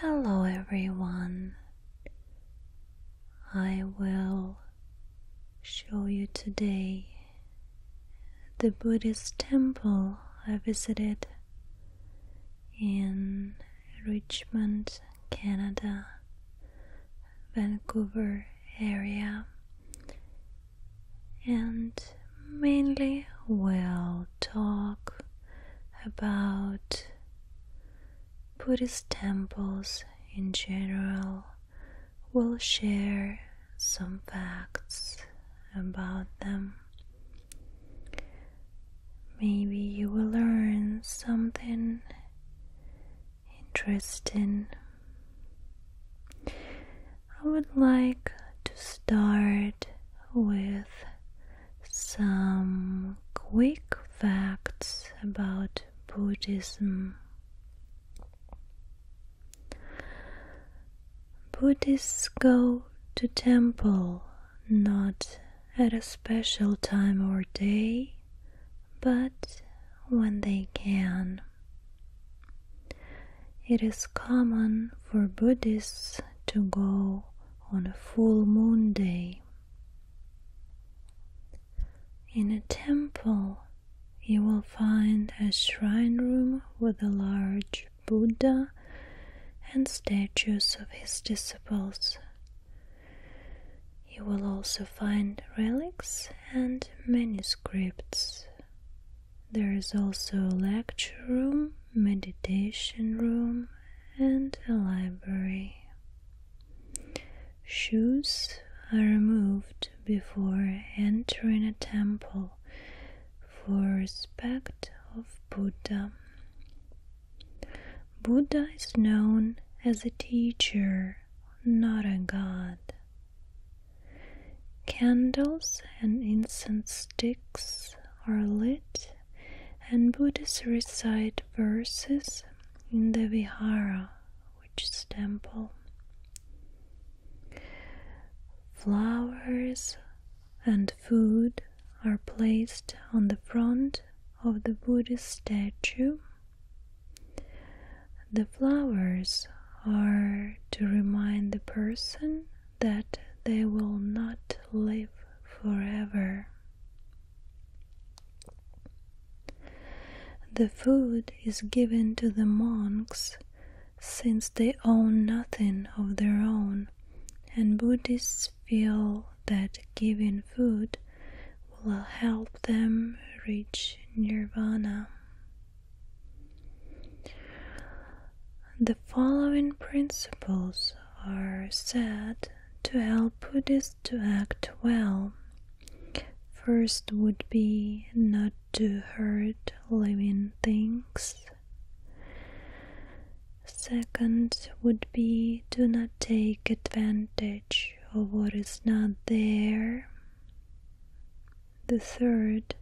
Hello, everyone. I will show you today the Buddhist temple I visited in Richmond, Canada, Vancouver area, and mainly we'll talk about Buddhist temples in general, we will share some facts about them. Maybe you will learn something interesting. I would like to start with some quick facts about Buddhism. Buddhists go to temple not at a special time or day, but when they can. It is common for Buddhists to go on a full moon day. In a temple, you will find a shrine room with a large Buddha and statues of his disciples. You will also find relics and manuscripts. There is also a lecture room, meditation room, and a library. Shoes are removed before entering a temple for respect of Buddha. Buddha is known as a teacher, not a god. Candles and incense sticks are lit and Buddhists recite verses in the vihara, which temple. Flowers and food are placed on the front of the Buddhist statue. The flowers are to remind the person that they will not live forever. The food is given to the monks since they own nothing of their own, and Buddhists feel that giving food will help them reach nirvana. The following principles are said to help Buddhists to act well. First would be not to hurt living things. Second would be to not take advantage of what is not there the third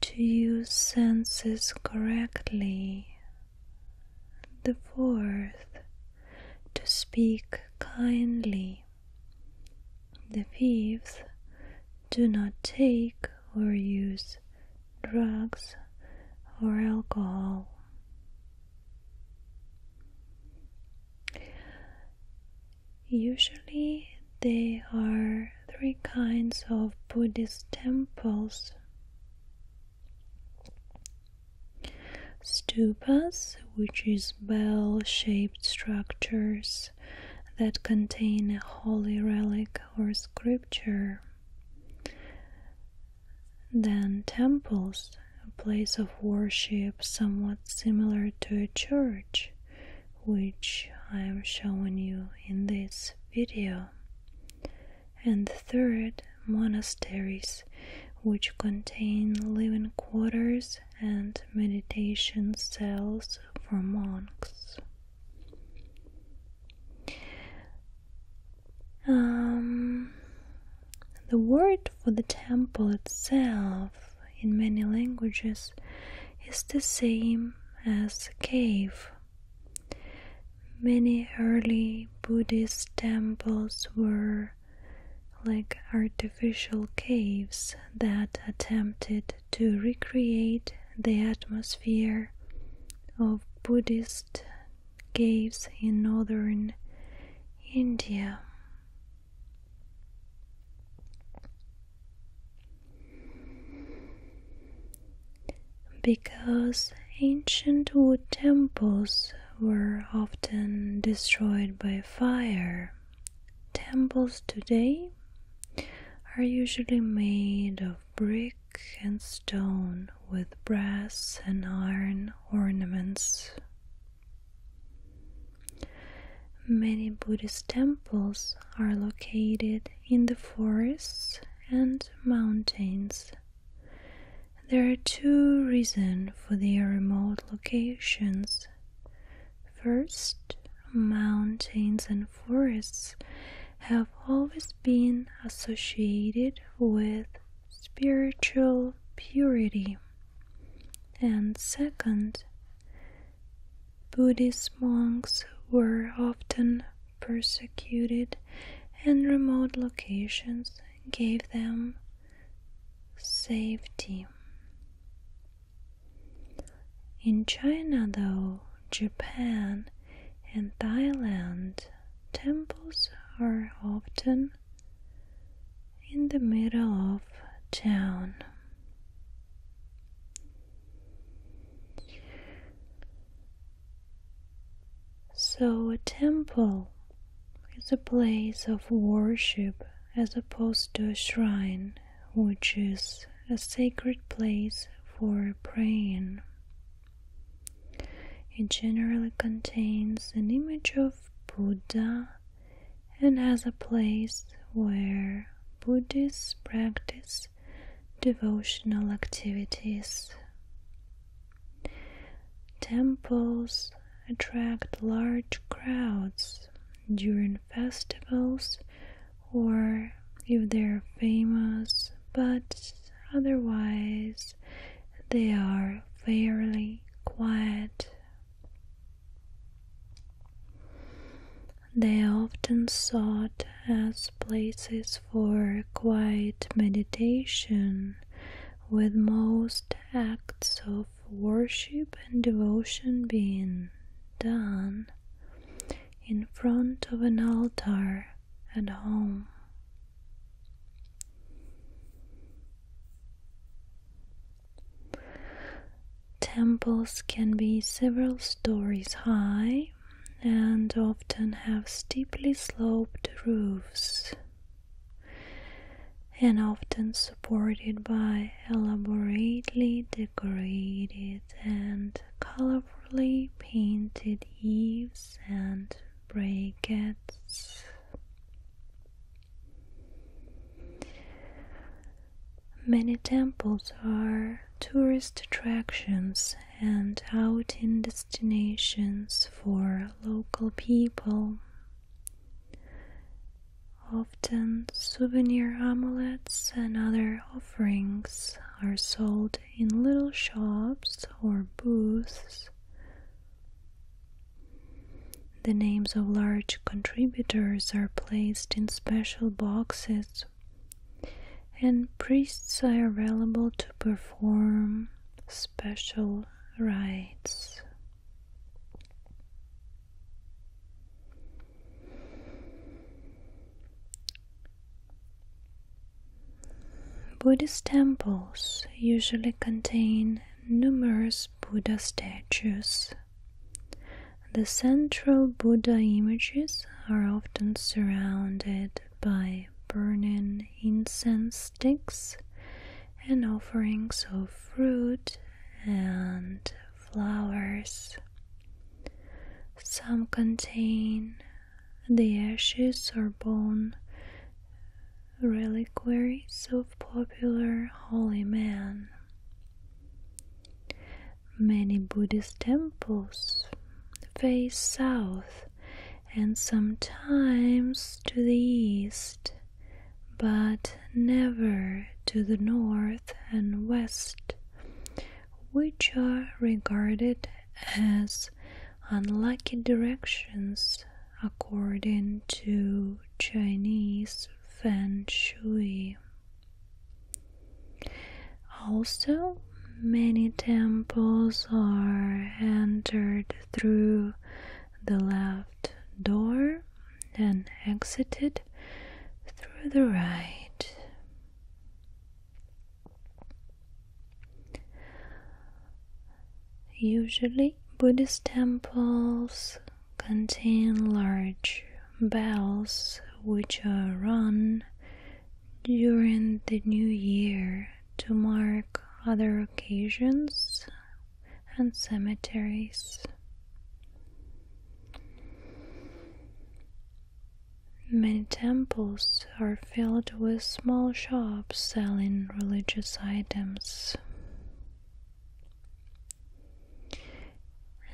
to use senses correctly, the fourth to speak kindly, the fifth do not take or use drugs or alcohol. Usually there are three kinds of Buddhist temples stupas, which is bell shaped structures that contain a holy relic or scripture. Then temples, a place of worship somewhat similar to a church which I am showing you in this video, and third, monasteries which contain living quarters and meditation cells for monks. Um, the word for the temple itself in many languages is the same as cave. Many early Buddhist temples were like artificial caves that attempted to recreate the atmosphere of Buddhist caves in northern India. Because ancient wood temples were often destroyed by fire, temples today are usually made of brick and stone with brass and iron ornaments. Many Buddhist temples are located in the forests and mountains. There are two reasons for their remote locations. First, mountains and forests have always been associated with spiritual purity. And second, Buddhist monks were often persecuted, and remote locations gave them safety. In China, though, Japan, and Thailand, temples are often in the middle of town. So, a temple is a place of worship as opposed to a shrine, which is a sacred place for praying. It generally contains an image of Buddha and has a place where Buddhists practice devotional activities. Temples attract large crowds during festivals or if they're famous, but otherwise they are fairly quiet. They often sought as places for quiet meditation, with most acts of worship and devotion being done in front of an altar at home. Temples can be several stories high and often have steeply sloped roofs and often supported by elaborately decorated and colorfully painted eaves and brackets. Many temples are tourist attractions and outing destinations for local people. Often, souvenir amulets and other offerings are sold in little shops or booths the names of large contributors are placed in special boxes, and priests are available to perform special rites. Buddhist temples usually contain numerous Buddha statues. The central Buddha images are often surrounded by burning incense sticks and offerings of fruit and flowers. Some contain the ashes or bone reliquaries of popular holy men. Many Buddhist temples face south and sometimes to the east, but never to the north and west, which are regarded as unlucky directions according to Chinese feng shui. Also, many temples are entered through the left door and exited through the right. Usually, Buddhist temples contain large bells which are rung during the new year to mark other occasions and cemeteries. Many temples are filled with small shops selling religious items.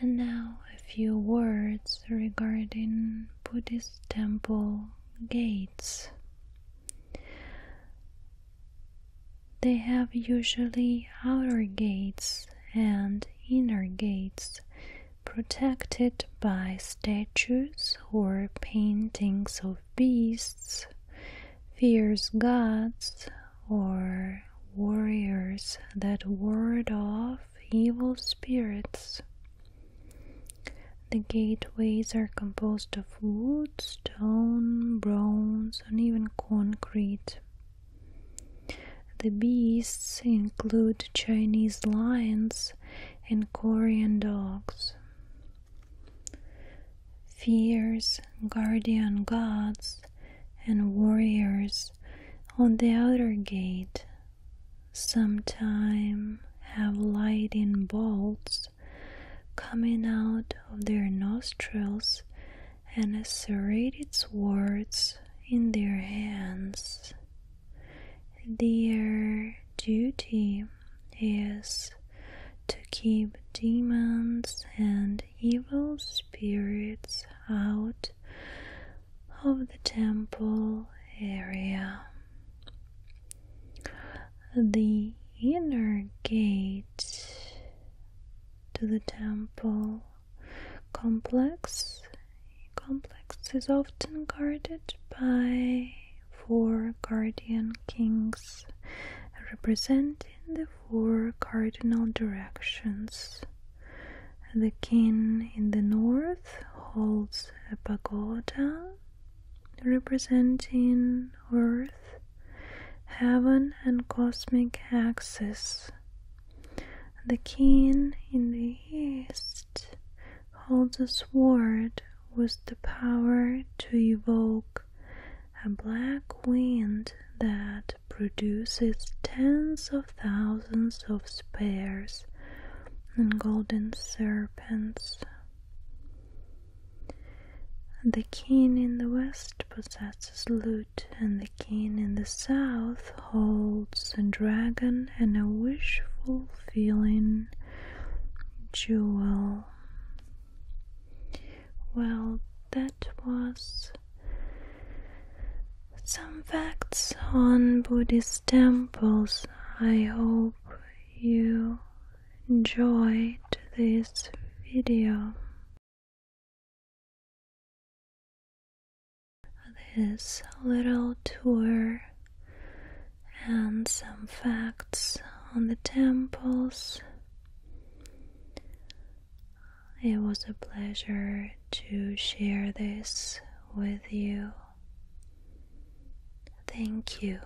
And now a few words regarding Buddhist temple gates. They have usually outer gates and inner gates protected by statues or paintings of beasts, fierce gods, or warriors that ward off evil spirits. The gateways are composed of wood, stone, bronze, and even concrete. The beasts include Chinese lions and Korean dogs. Fears, guardian gods, and warriors on the outer gate sometime have lightning bolts coming out of their nostrils and serrated swords in their hands. Their duty is to keep demons and evil spirits out of the temple area. The inner gate to the temple complex complex is often guarded by four guardian kings representing the four cardinal directions. The king in the north holds a pagoda representing earth, heaven, and cosmic axis. The king in the east holds a sword with the power to evoke a black wind that produces tens of thousands of spears and golden serpents. The king in the west possesses lute, and the king in the south holds a dragon and a wishful feeling jewel. Well, that was some facts on Buddhist temples. I hope you enjoyed this video. This little tour and some facts on the temples. It was a pleasure to share this with you. Thank you.